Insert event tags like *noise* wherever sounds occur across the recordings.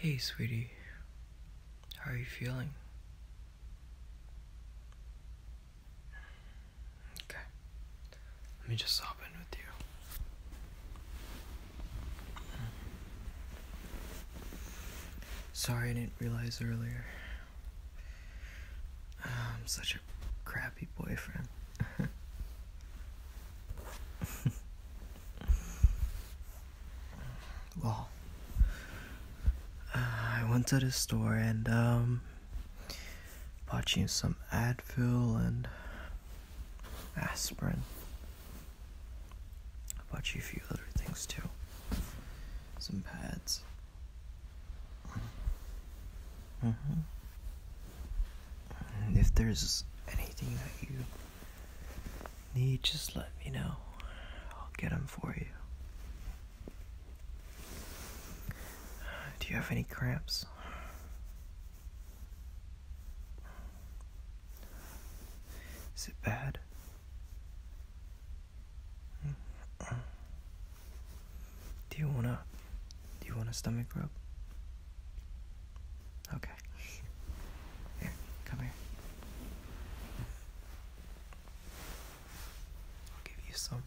Hey, sweetie, how are you feeling? Okay, let me just hop in with you. Sorry, I didn't realize earlier. Ah, I'm such a crappy boyfriend. *laughs* well, uh, I went to the store and um, bought you some Advil and aspirin. I bought you a few other things too, some pads. Mm-hmm. if there's anything that you need, just let me know. I'll get them for you. Do you have any cramps? Is it bad? Do you wanna do you want a stomach rub? Okay come here. I'll give you some.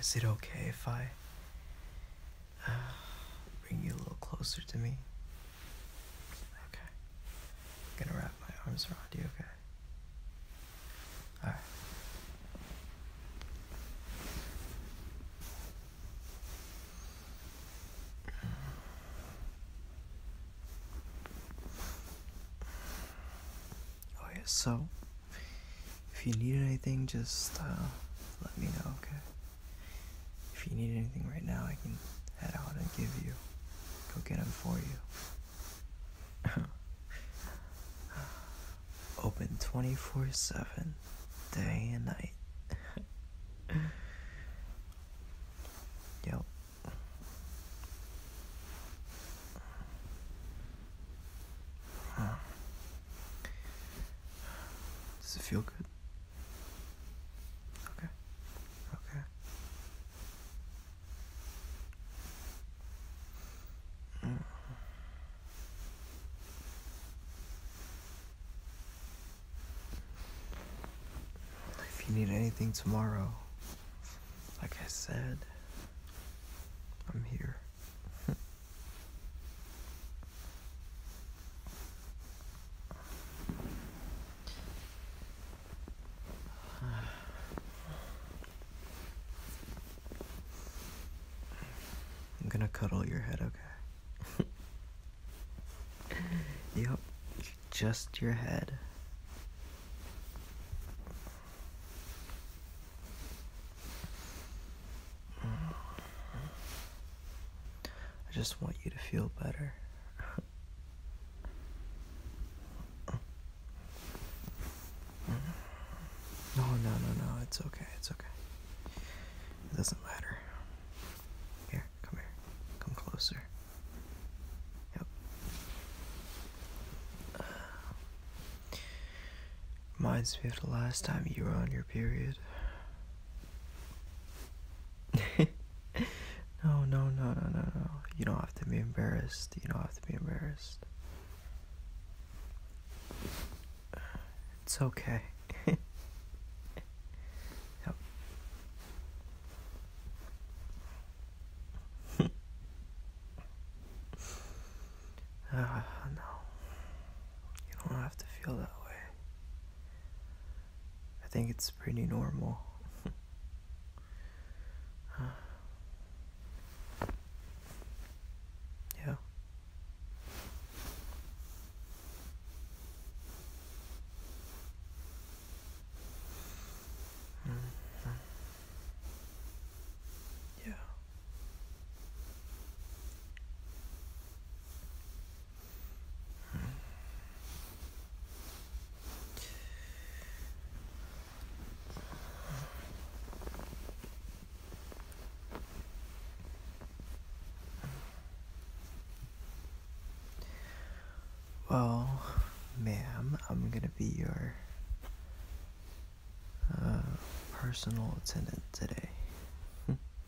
Is it okay if I *sighs* Bring you a little closer to me. Okay. I'm gonna wrap my arms around you, okay? Alright. Oh, yeah, so if you need anything, just uh, let me know, okay? If you need anything right now, I can head out and give you. Go get them for you. *laughs* Open 24 7, day and night. *laughs* yep. Does it feel good? Okay. Okay. Mm. If you need anything tomorrow, like I said, I'm here. *laughs* I'm gonna cuddle your head, okay? *laughs* yep, just your head. I just want you to feel better. No, no, no, no. It's okay. It's okay. It doesn't matter. Here, come here. Come closer. reminds me of the last time you were on your period no, no, no, no, no, no. You don't have to be embarrassed. You don't have to be embarrassed. It's okay. *laughs* *laughs* Ah, no. You don't have to feel that way. I think it's pretty normal. *laughs* yeah. Mm-hmm. Yeah. Well, ma'am, I'm gonna be your uh, personal attendant today. *laughs*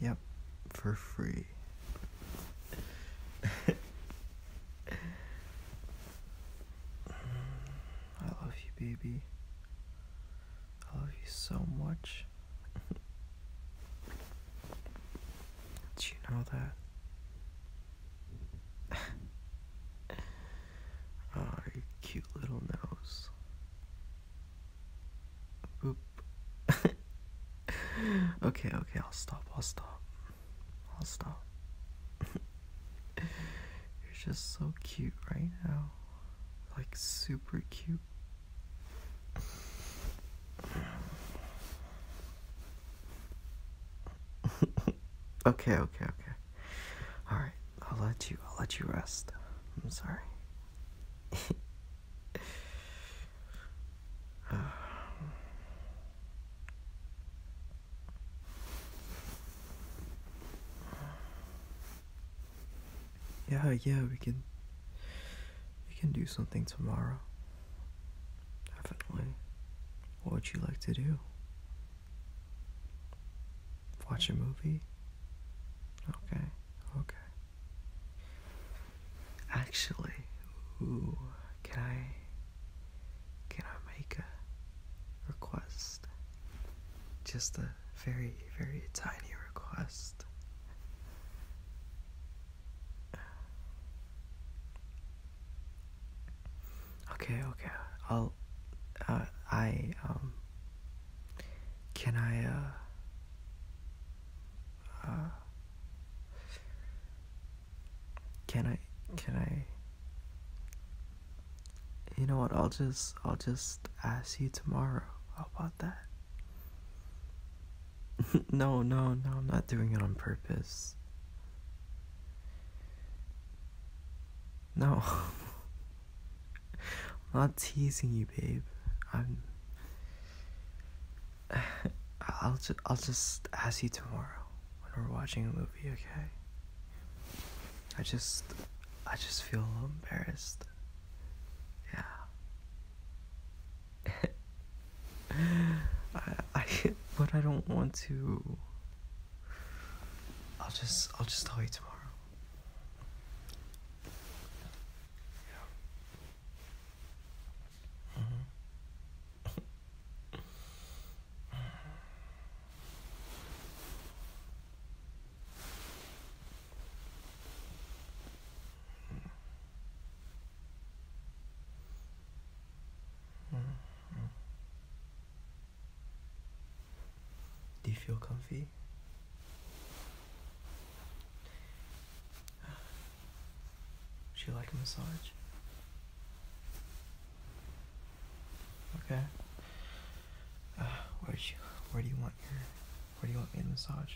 Yep, for free. I love you, baby. I love you so much. *laughs* Did you know that? oh, cute little nose. *laughs* okay, okay, I'll stop. I'll stop. I'll stop. *laughs* You're just so cute right now. Like, super cute. *laughs* okay, okay, okay. All right, I'll let you. I'll let you rest. I'm sorry. *sighs* Yeah, yeah, we can. We can do something tomorrow. Definitely. What would you like to do? Watch a movie? Okay, okay. Actually, can I can I make a request? Just a very, very tiny request. Okay, okay. I'll. Uh, I um. Can I uh, uh. Can I? Can I? You know what? I'll just. I'll just ask you tomorrow. How about that? *laughs* no, no, no, I'm not doing it on purpose. No. *laughs* I'm not teasing you, babe. I'm *sighs* I'll just I'll just ask you tomorrow when we're watching a movie, okay? I just I just feel a little embarrassed. Yeah. *laughs* I, I but *laughs* I don't want to. I'll just I'll just tell you tomorrow. Mm-hmm. *laughs* Mm-hmm. Do you feel comfy? Would *sighs* you like a massage? Okay. *sighs* where do you where do you want your where do you want me to massage?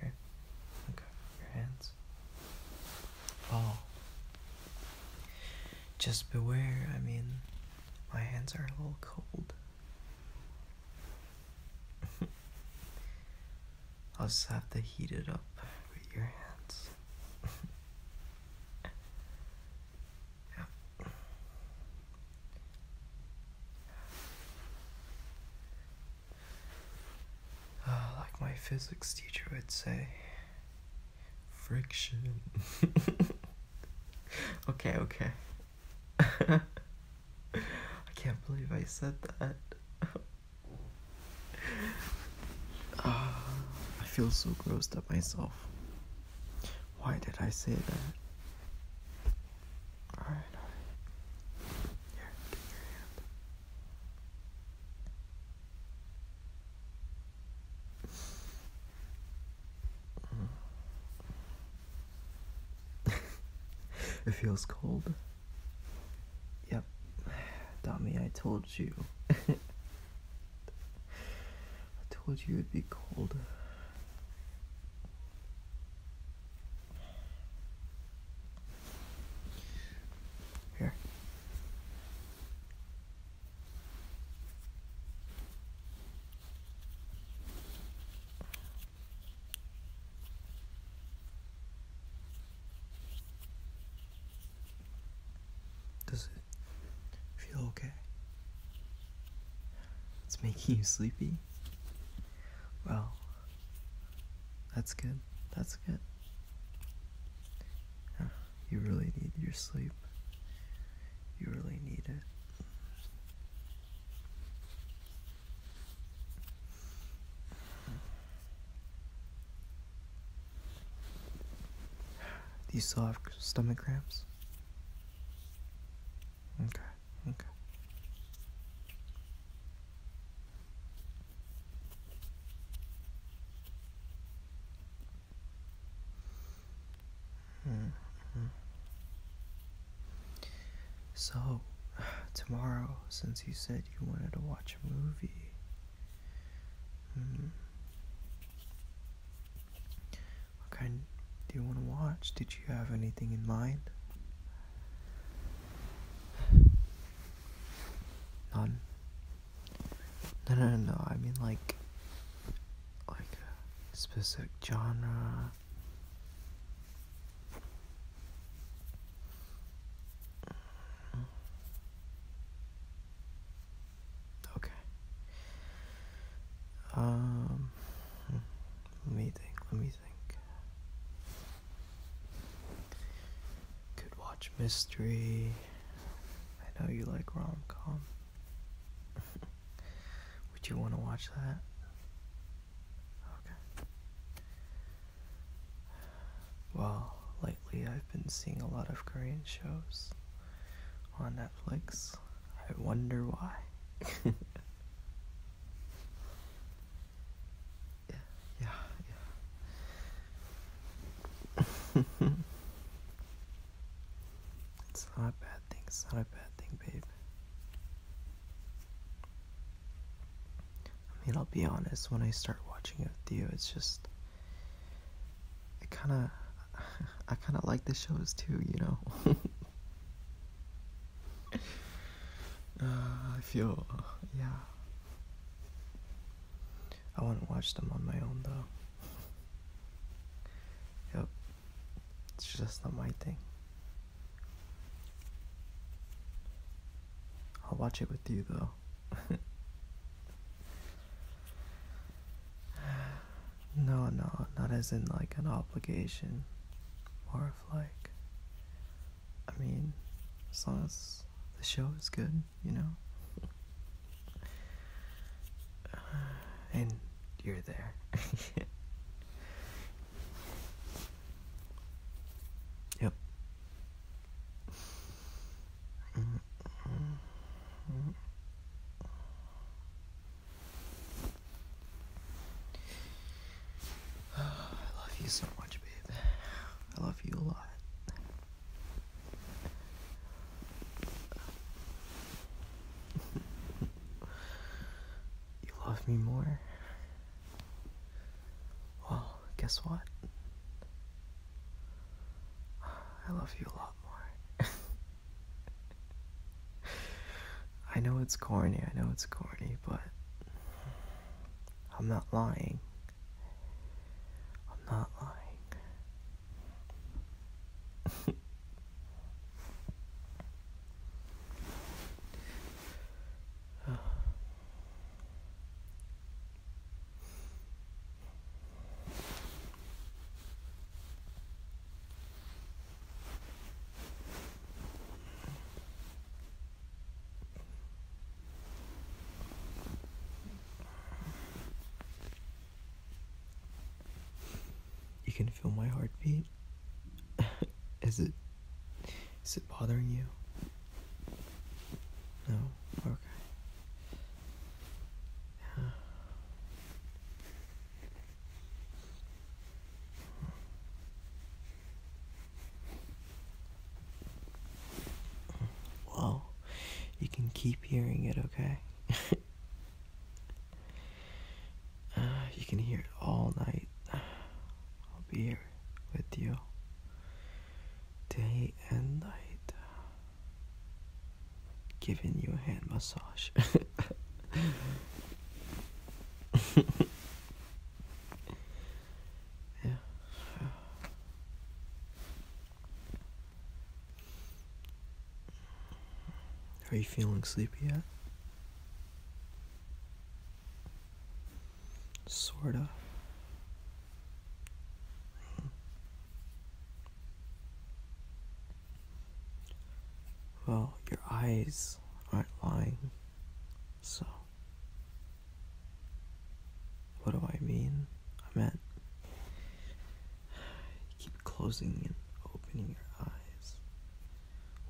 Here. Okay. Your hands. Oh. Just beware. I mean, my hands are a little cold. *laughs* I'll just have to heat it up with your hands. *laughs* Uh, like my physics teacher would say, friction. *laughs* okay, okay. *laughs* I can't believe I said that. *laughs* Ah, I feel so grossed up myself. Why did I say that? it feels cold. Yep, Tommy. I told you. *laughs* I told you it'd be cold. Here. Does it feel okay? It's making you sleepy? Wow. That's good. That's good. you really need your sleep. You really need it. Do you still have stomach cramps? Okay. Okay. Mm -hmm. So, *sighs* tomorrow, since you said you wanted to watch a movie, mm, what kind do you want to watch? Did you have anything in mind? None. No, no, no, I mean, like, like uh, specific genre. Okay. Um, hmm. let me think. Let me think. Could watch mystery. I know you like rom com. *laughs* Would you want to watch that? Okay. Well, lately I've been seeing a lot of Korean shows on Netflix. I wonder why. *laughs* Yeah, yeah. *laughs* it's not a bad thing. It's not a bad thing, babe. I mean, I'll be honest. When I start watching it with you, it's just. It kind of. I kind of *laughs* like the shows too, you know? *laughs* Uh, I feel, uh, yeah. I wouldn't watch them on my own though. Yep. It's just not my thing. I'll watch it with you though. *laughs* no, no, not as in like an obligation or like, I mean, as long as the show is good, you know? *sighs* and you're there. *laughs* yep. *sighs* I love you so much, babe. I love you a lot. *laughs* you love me more? Well, guess what? *sighs* I love you a lot more. *laughs* I know it's corny, I know it's corny, but I'm not lying. I'm not lying. You can feel my heartbeat. *laughs* is it is it bothering you? No. Okay. Well, you can keep hearing it, okay? *laughs* Uh, you can hear it all night. *sighs* I'll be here with you day and night, giving you a hand massage. *laughs* Are you feeling sleepy yet? Sorta. Well, your eyes aren't lying, so. What do I mean? I meant. *sighs* keep closing and opening your eyes.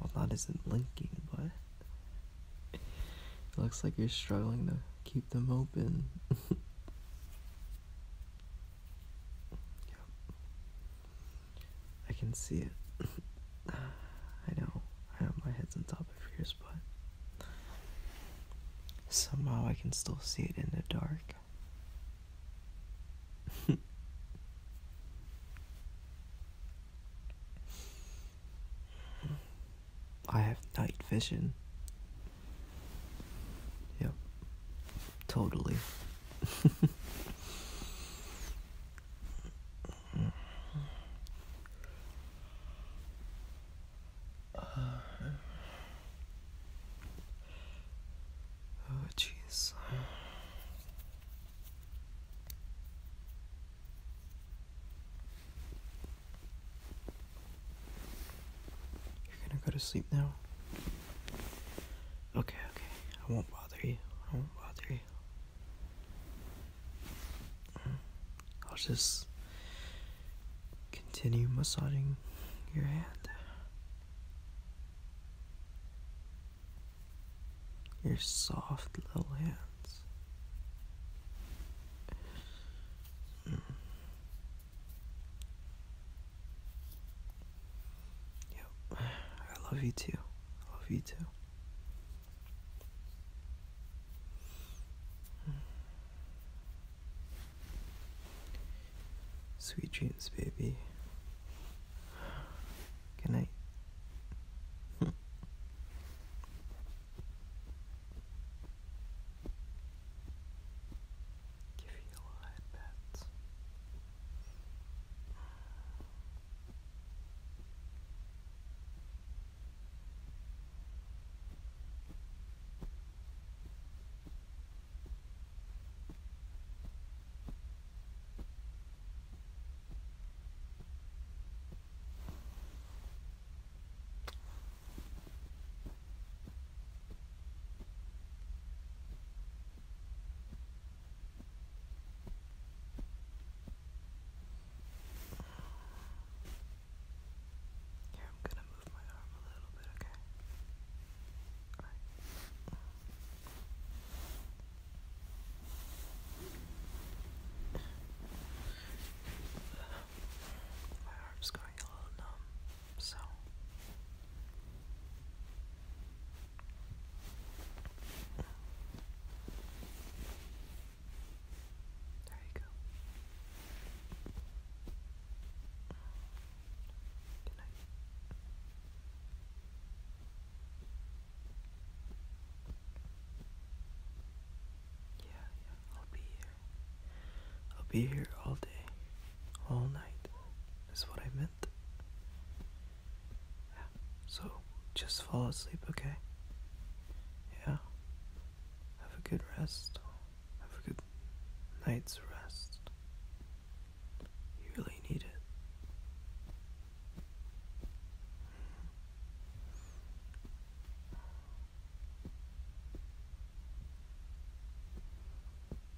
Well, that isn't blinking, but. It looks like you're struggling to keep them open. *laughs* I can see it. *sighs* I know, I know my head's on top of yours, but somehow I can still see it in the dark. *laughs* I have night vision. Yep, totally. *laughs* oh, jeez. You're gonna go to sleep now. Okay, okay. I won't bother you. I won't bother you. Mm. I'll just continue massaging your hand. Your soft little hands. Mm. Yep. *sighs* I love you too. I love you too. *sighs* Sweet dreams, baby. *sighs* Good night. *laughs* give you a live bet. Here, I'm gonna move my arm a little bit, okay? My arm's going a little numb. So there you go. yeah, I'll be here. I'll be here all day, all night is what I meant. So just fall asleep, okay? Yeah. Have a good rest. Have a good night's rest. You really need it.